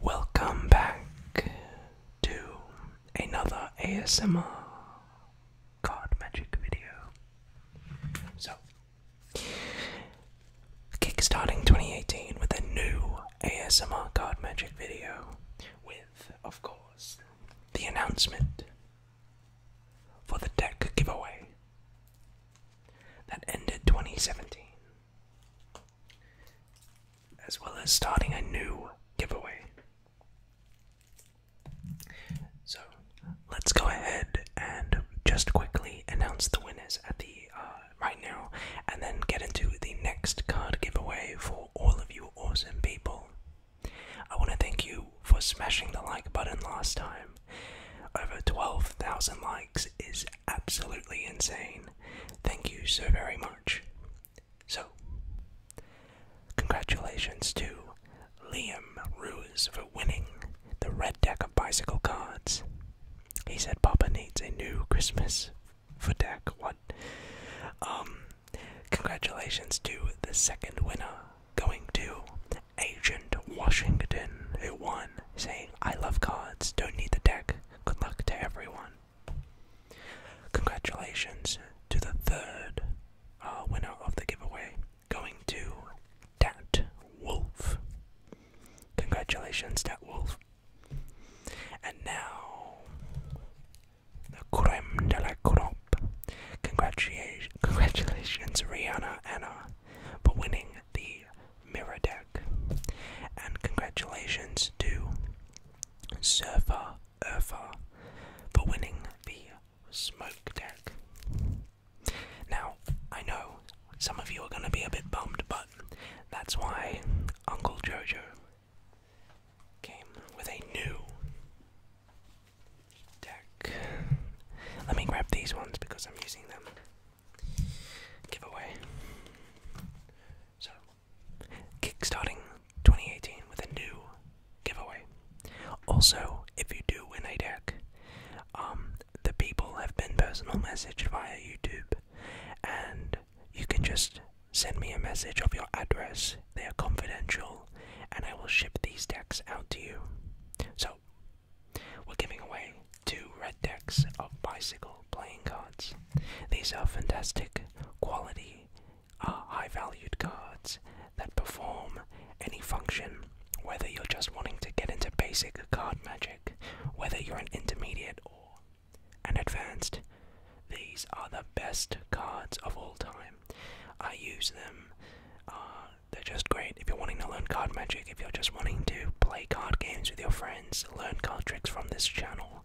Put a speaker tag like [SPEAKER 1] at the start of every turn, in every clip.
[SPEAKER 1] Welcome back to another ASMR card magic video. So, kickstarting 2018 with a new ASMR card magic video, with, of course, the announcement for the deck giveaway that ended 2017, as well as starting a new giveaway. So let's go ahead and just quickly announce the winners at the uh, right now, and then get into the next card giveaway for all of you awesome people. I want to thank you for smashing the like button last time. Over 12,000 likes is absolutely insane. Thank you so very much. So, congratulations to Liam Ruse for winning the red deck of bicycle cards. He said Papa needs a new Christmas for deck. What? Um, congratulations to the second winner going to Agent Washington, who won, saying, I love cards, don't need the deck, good luck to everyone. Congratulations to the third uh, winner of the giveaway, going to Dat Wolf. Congratulations, Dat Wolf. And now, the creme de la crop. Congratulations, Rihanna Anna, for winning the mirror deck. And congratulations to Surfer Urfa for winning the smoke deck. Now, I know some of you are going to be a bit bummed, but that's why Uncle Jojo came with a new deck. Let me grab these ones because I'm using them giveaway. So, kickstarting 2018 with a new giveaway. Also, if you do win a deck, um, the people have been personal messaged via YouTube, and you can just send me a message of your address. They are confidential, and I will ship these decks out to you. So we're giving away two red decks of bicycle playing cards. These are fantastic quality, uh, high valued cards that perform any function, whether you're just wanting to get into basic card magic, whether you're an intermediate or an advanced. These are the best cards of all time. I use them uh, they're just great. If you're wanting to learn card magic, if you're just wanting to play card games with your friends, learn card tricks from this channel,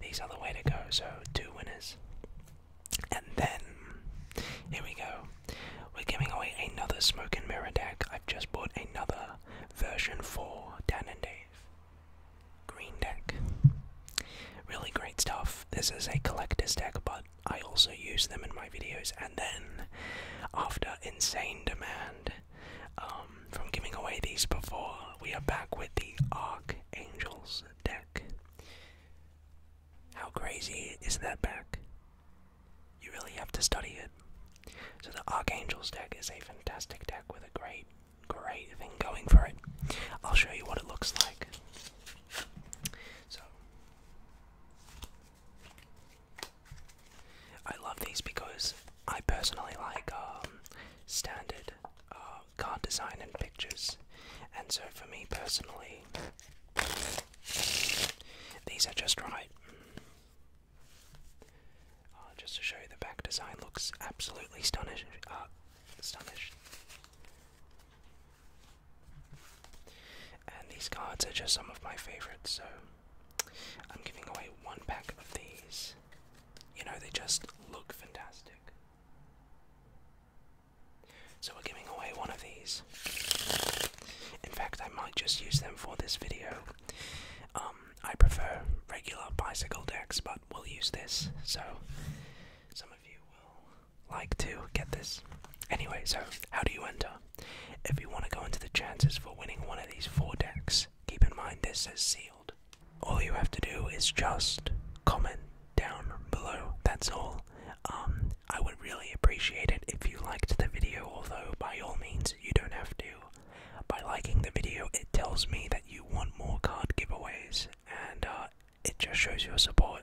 [SPEAKER 1] these are the way to go. So, two winners. And then, here we go. We're giving away another Smoke and Mirror deck. I've just bought another version for Dan and Dave. Green deck. Really great stuff. This is a collector's deck, but I also use them in my videos. And then, after insane demand, um, from giving away these before. We are back with the Archangels deck. How crazy is that back? You really have to study it. So, the Archangels deck is a fantastic deck with a great, great thing going for it. I'll show you what it looks like. So, I love these because I personally like um, standard uh, card design and pictures, and so for me personally, these are just right. Uh, just to show you, the back design looks absolutely stunning. Uh, and these cards are just some of my favorites, so I'm giving away one pack of these. You know, they just look fantastic. So, we're giving away one of these. In fact, I might just use them for this video. Um, I prefer regular bicycle decks, but we'll use this, so some of you will like to get this. Anyway, so how do you enter? If you want to go into the chances for winning one of these four decks, keep in mind this is sealed. All you have to do is just comment down below, that's all. Um, I would really appreciate it if you liked the video, although by all means you don't have to. By liking the video, it tells me that you want more card giveaways, and uh, it just shows your support.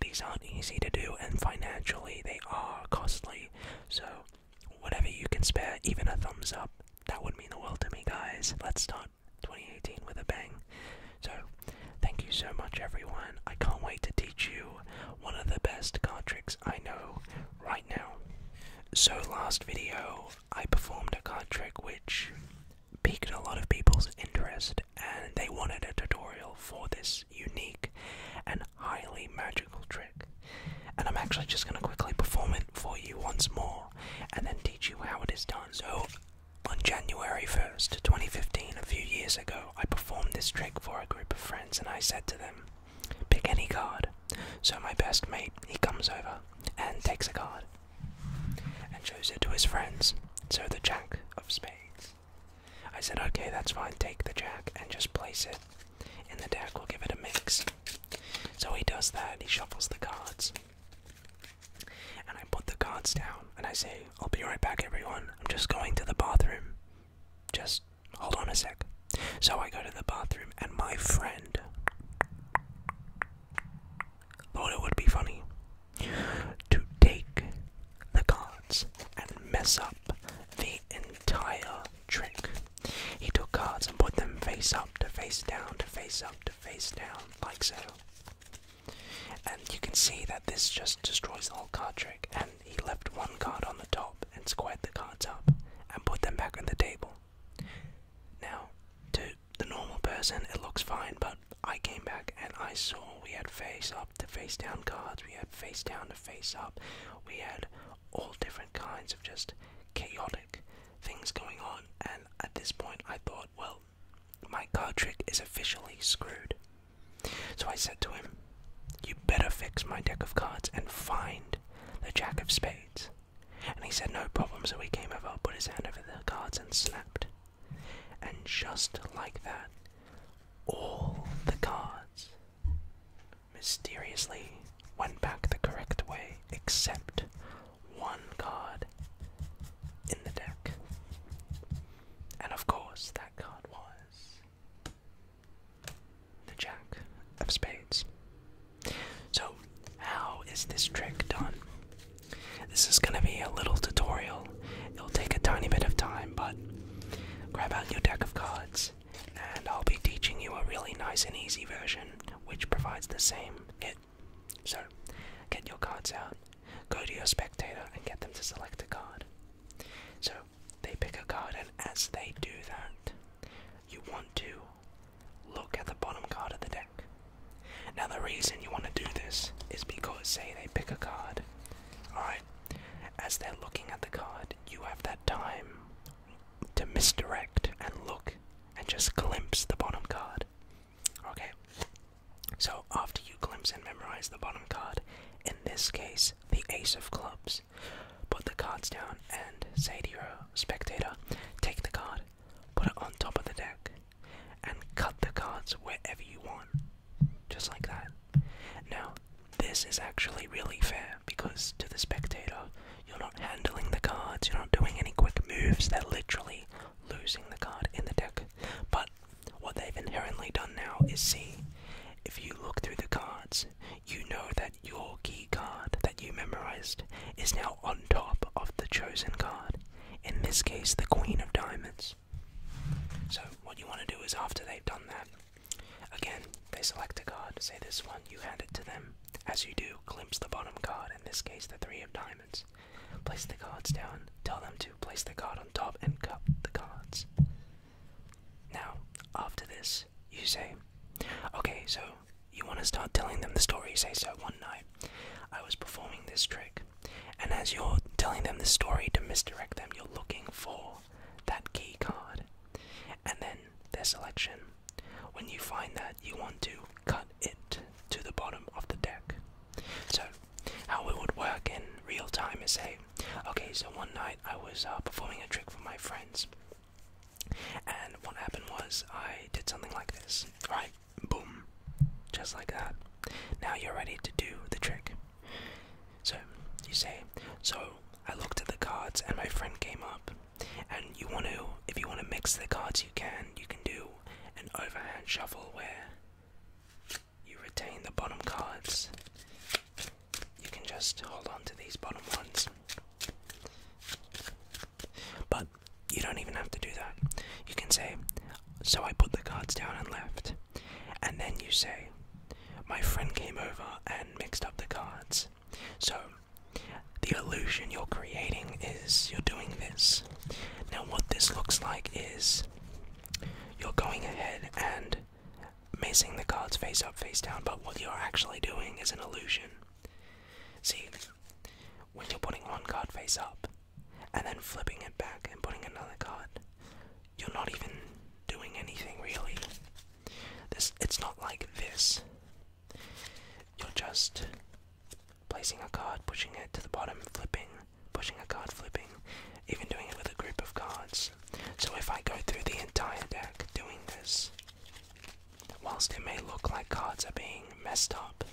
[SPEAKER 1] These aren't easy to do, and financially they are costly, so Whatever you can spare even a thumbs up, that would mean the world to me, guys. Let's start 2018 with a bang. So, thank you so much, everyone. I can't wait to teach you one of the best card tricks I know right now. So, last video, I performed a card trick which piqued a lot of people's interest, and they wanted a tutorial for this unique and highly magical trick, and I'm actually just going to quickly perform it for you once more and then teach you how it is done. So, on January 1st, 2015, a few years ago, I performed this trick for a group of friends and I said to them, Pick any card. So, my best mate, he comes over and takes a card and shows it to his friends. So, the Jack of Spades. I said, Okay, that's fine, take the Jack and just place it and the deck will give it a mix. So he does that, he shuffles the cards. And I put the cards down and I say, I'll be right back, everyone. I'm just going to the bathroom. Just hold on a sec. So I go to the bathroom, and my friend thought it would be funny to take the cards and mess up the entire trick. He took cards and put them face up to face down to face up to face down, like so. And you can see that this just destroys the whole card trick. And he left one card on the top and squared the cards up and put them back on the table. Now, to the normal person, it looks fine, but I came back and I saw we had face up to face down cards, we had face down to face up, we had all different kinds of just chaotic things going on. And at this point, I thought, well, my card trick is officially screwed. So I said to him, You better fix my deck of cards and find the Jack of Spades. And he said, No problem. So we came over, put his hand over the cards, and snapped. And just like that, all the cards mysteriously went back the correct way, except one card in the deck. And of course, that card was the Jack of Spades. So, how is this trick done? This is going to be a little tutorial. It'll take a tiny bit of time, but grab out your deck of cards and I'll be teaching you a really nice and easy version which provides the same hit. So, get your cards out, go to your spectator, and get them to select a card. So, they pick a card, and as they do that, you want to look at the bottom card of the deck. Now, the reason you want to do this is because, say, they pick a card, alright? As they're looking at the card, you have that time to misdirect and look and just glimpse the bottom card. Okay, so after you glimpse and memorize the bottom card, in this case the Ace of Clubs, put the cards down and say to your spectator, take the card, put it on top of the deck, and cut the cards wherever you want. Just like that. Now, this is actually really fair because to the spectator, you're not handling the cards, you're not doing any quick moves, they're literally losing the card in the deck. But what they've inherently done now is see if you look through the cards, you know that your key card that you memorized is now on top of the chosen card, in this case, the Queen of Diamonds. So, what you want to do is after they've done that, Again, they select a god. say this one, you hand it to them. As you do, glimpse the bottom god. in this case the three of diamonds. Place the cards down, tell them to place the card on top and cup the cards. Now, after this, you say, Okay, so you want to start telling them the story. You say, So one night, I was performing this trick, and as you're telling them the story to misdirect them, you're looking for that key card. And then their selection. When you find that, you want to cut it to the bottom of the deck. So, how it would work in real time is say, okay, so one night I was uh, performing a trick for my friends. And what happened was I did something like this, right? Boom. Just like that. Now you're ready to do the trick. So, you say, so I looked at the cards and my friend came up and you want to, if you want to mix the cards, you can. You can do an overhand shuffle where you retain the bottom cards. You can just hold on to these bottom ones. But you don't even have to do that. You can say, So I put the cards down and left. And then you say, My friend came over and mixed up the cards. So the illusion you're creating is you're doing this. Now, what this looks like is you're going ahead and missing the cards face up, face down, but what you're actually doing is an illusion. See, when you're putting one card face up and then flipping it back and putting another card, you're not even doing anything really it's not like this. You're just placing a card, pushing it to the bottom, flipping, pushing a card, flipping, even doing it with a group of cards. So if I go through the entire deck doing this, whilst it may look like cards are being messed up,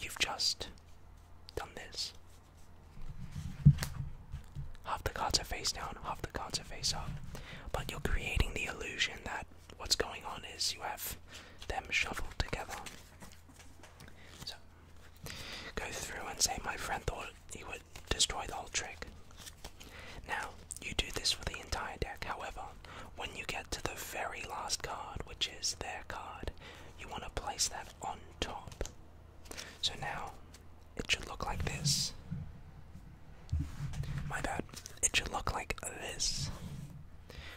[SPEAKER 1] you've just done this. Half the cards are face down, half the cards face-off. But you're creating the illusion that what's going on is you have them shuffled together. So, go through and say, my friend thought he would destroy the whole trick. Now, you do this for the entire deck, however, when you get to the very last card, which is their card, you want to place that on top. So now, it should look like this. My bad. It should look like this.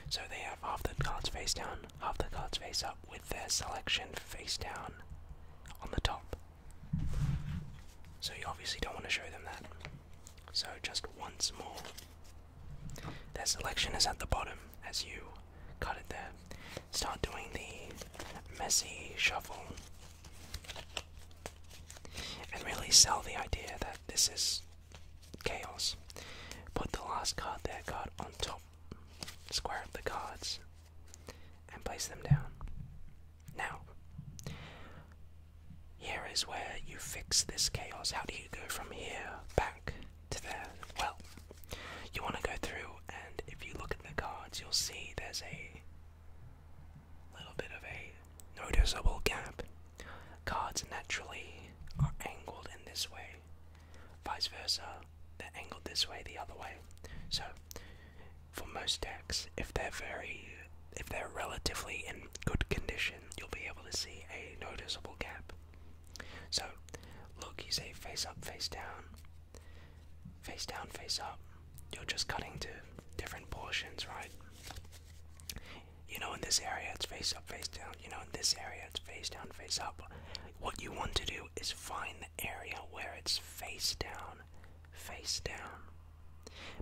[SPEAKER 1] So they have half the cards face down, half the cards face up, with their selection face down on the top. So you obviously don't want to show them that. So just once more. Their selection is at the bottom as you cut it there. Start doing the messy shuffle and really sell the idea that this is chaos. Put the last card there card on top, square up the cards, and place them down. Now, here is where you fix this chaos. How do you go from here back to there? Well, you want to go through, and if you look at the cards, you'll see there's a little bit of a noticeable gap. Cards naturally are angled in this way, vice versa, they're angled this way the other way. So, for most decks, if they're very, if they're relatively in good condition, you'll be able to see a noticeable gap. So, look, you say face up, face down, face down, face up, you're just cutting to different portions, right? You know, in this area it's face up, face down. You know, in this area it's face down, face up. What you want to do is find the area where it's face down, face down.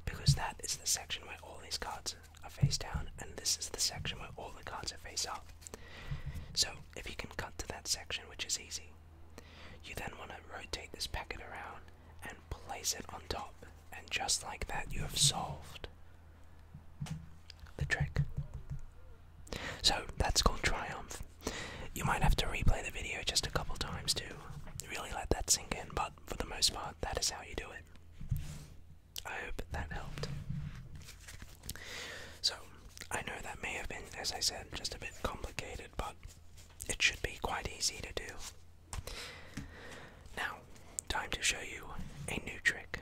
[SPEAKER 1] Because that is the section where all these cards are face down, and this is the section where all the cards are face up. So, if you can cut to that section, which is easy, you then want to rotate this packet around and place it on top and just like that, you have solved the trick. So that's called Triumph. You might have to replay the video just a couple times to really let that sink in, but for the most part, that is how you do it. I hope that helped. So, I know that may have been, as I said, just a bit complicated, but it should be quite easy to do. Now, time to show you a new trick.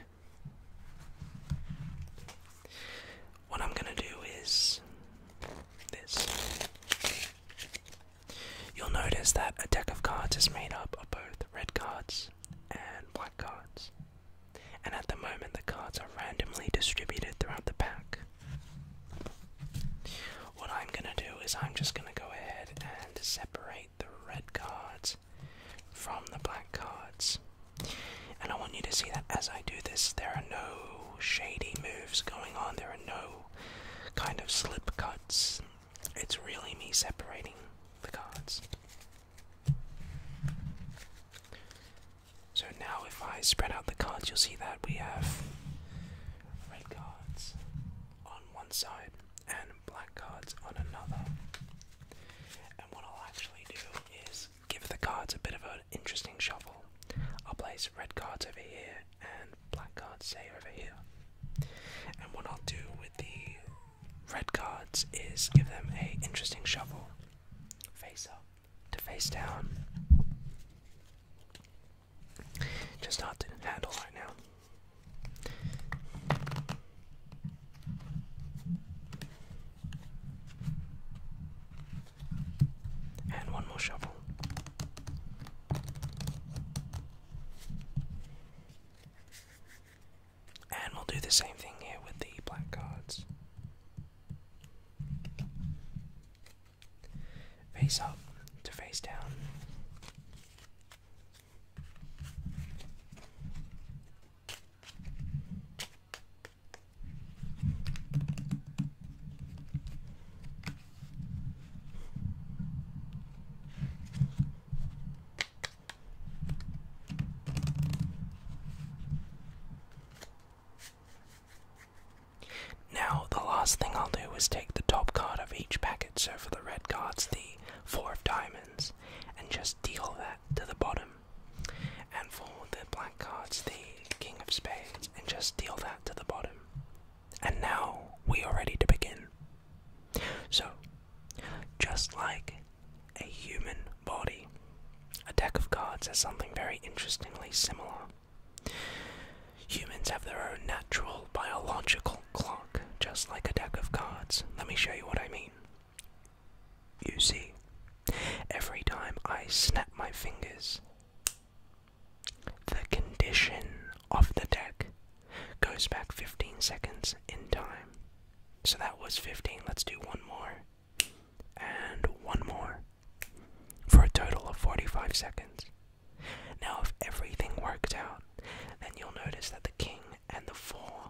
[SPEAKER 1] What I'm going to do is this. You'll notice that a deck of cards is made up of both red cards and black cards. And at the moment, the cards are randomly distributed throughout the pack. What I'm gonna do is I'm just gonna go ahead and separate the red cards from the black cards. And I want you to see that as I do this, there are no shady moves going on, there are no kind of slip cuts. It's really me separating the cards. So now, if I spread out the cards, you'll see that we have red cards, on one side and black cards on another. And what I'll actually do is give the cards a bit of an interesting shuffle. I'll place red cards over here and black cards, say, over here. And what I'll do with the red cards is give them a interesting shuffle. Face up to face down. Just hard to handle right now. And one more shovel. And we'll do the same thing here with the black cards. Face up to face down. Now, the last thing I'll do is take the top card of each packet, so for the red cards, the Four of Diamonds, and just deal that to the bottom. And for the black cards, the King of Spades, and just deal that to the bottom. And now we are ready to begin. So, just like a human body, a deck of cards has something very interestingly similar. Humans have their own natural biological clock, just like a deck of cards. Let me show you what I mean. You see, every time I snap my fingers, the condition of the deck goes back 15 seconds in time. So that was 15. Let's do one more. And one more. For a total of 45 seconds. Now, if everything worked out, then you'll notice that the king and the four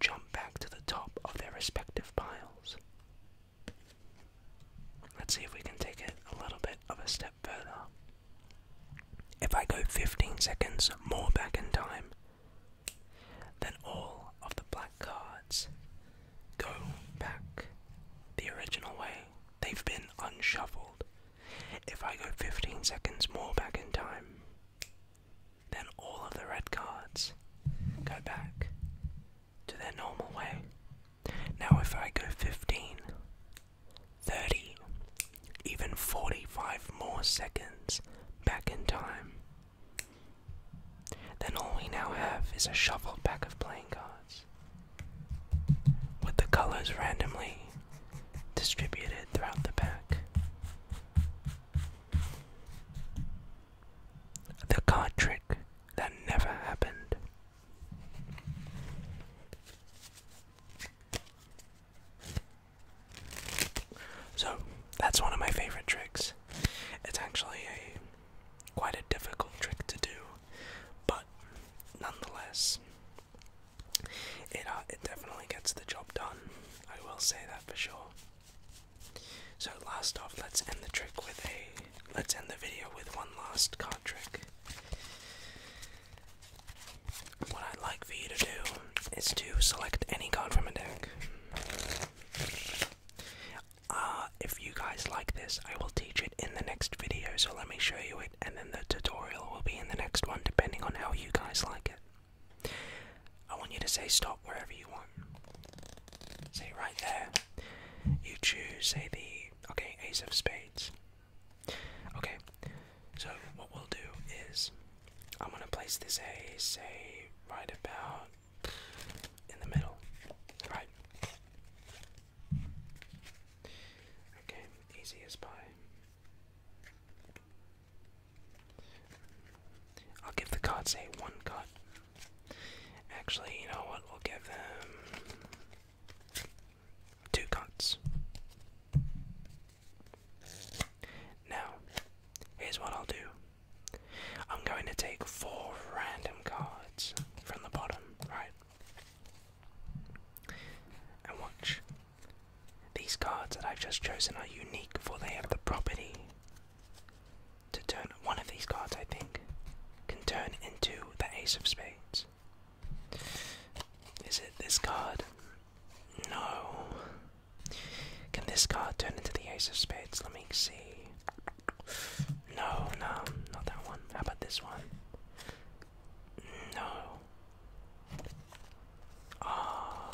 [SPEAKER 1] jump back to the top of their respective piles. Let's see if we can take it a little bit of a step further. If I go 15 seconds more back in time, then all of the black cards go back the original way. They've been unshuffled. If I go 15 seconds more back in time, then all of the red cards go back to their normal way. Now, if I go 15, even 45 more seconds back in time, then all we now have is a shuffled pack of playing cards with the colors randomly distributed throughout the pack. The card trick that never happened. So, that's one of my favorite tricks. It's actually a quite a difficult trick to do, but nonetheless, it uh, it definitely gets the job done. I will say that for sure. So last off, let's end the trick with a let's end the video with one last card trick. What I'd like for you to do is to select any card from a deck. Uh, if you guys like this, I will teach in the next video, so let me show you it, and then the tutorial will be in the next one, depending on how you guys like it. I want you to say stop wherever you want. Say right there. You choose, say the, okay, ace of spades. Okay, so what we'll do is, I'm gonna place this ace, say, right about in the middle. Right. Okay, easy as I'll give the cards a one cut. Actually, you know what? We'll give them two cuts. Now, here's what I'll do I'm going to take four random cards from the bottom, right? And watch. These cards that I've just chosen are unique, for they have the property to turn one of these cards, I think, can turn into the Ace of Spades. Is it this card? No. Can this card turn into the Ace of Spades? Let me see. No, no, not that one. How about this one? No. Ah,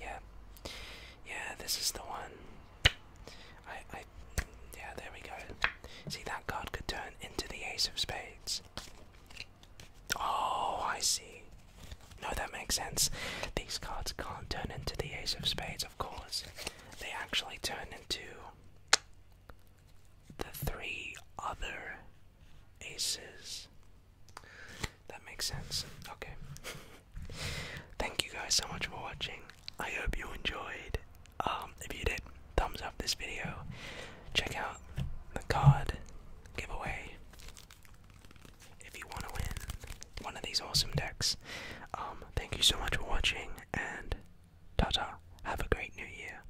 [SPEAKER 1] yeah, yeah. This is the one. I, I, yeah. There we go. See, that card could turn into the Ace of Spades. Oh, I see. No, that makes sense. These cards can't turn into the Ace of Spades, of course. They actually turn into the three other aces. That makes sense. Okay. Thank you guys so much for watching. I hope you enjoyed. Um, if you did, thumbs up this video. Check out the card giveaway if you want to win one of these awesome decks. Um, thank you so much for watching and ta Have a great new year.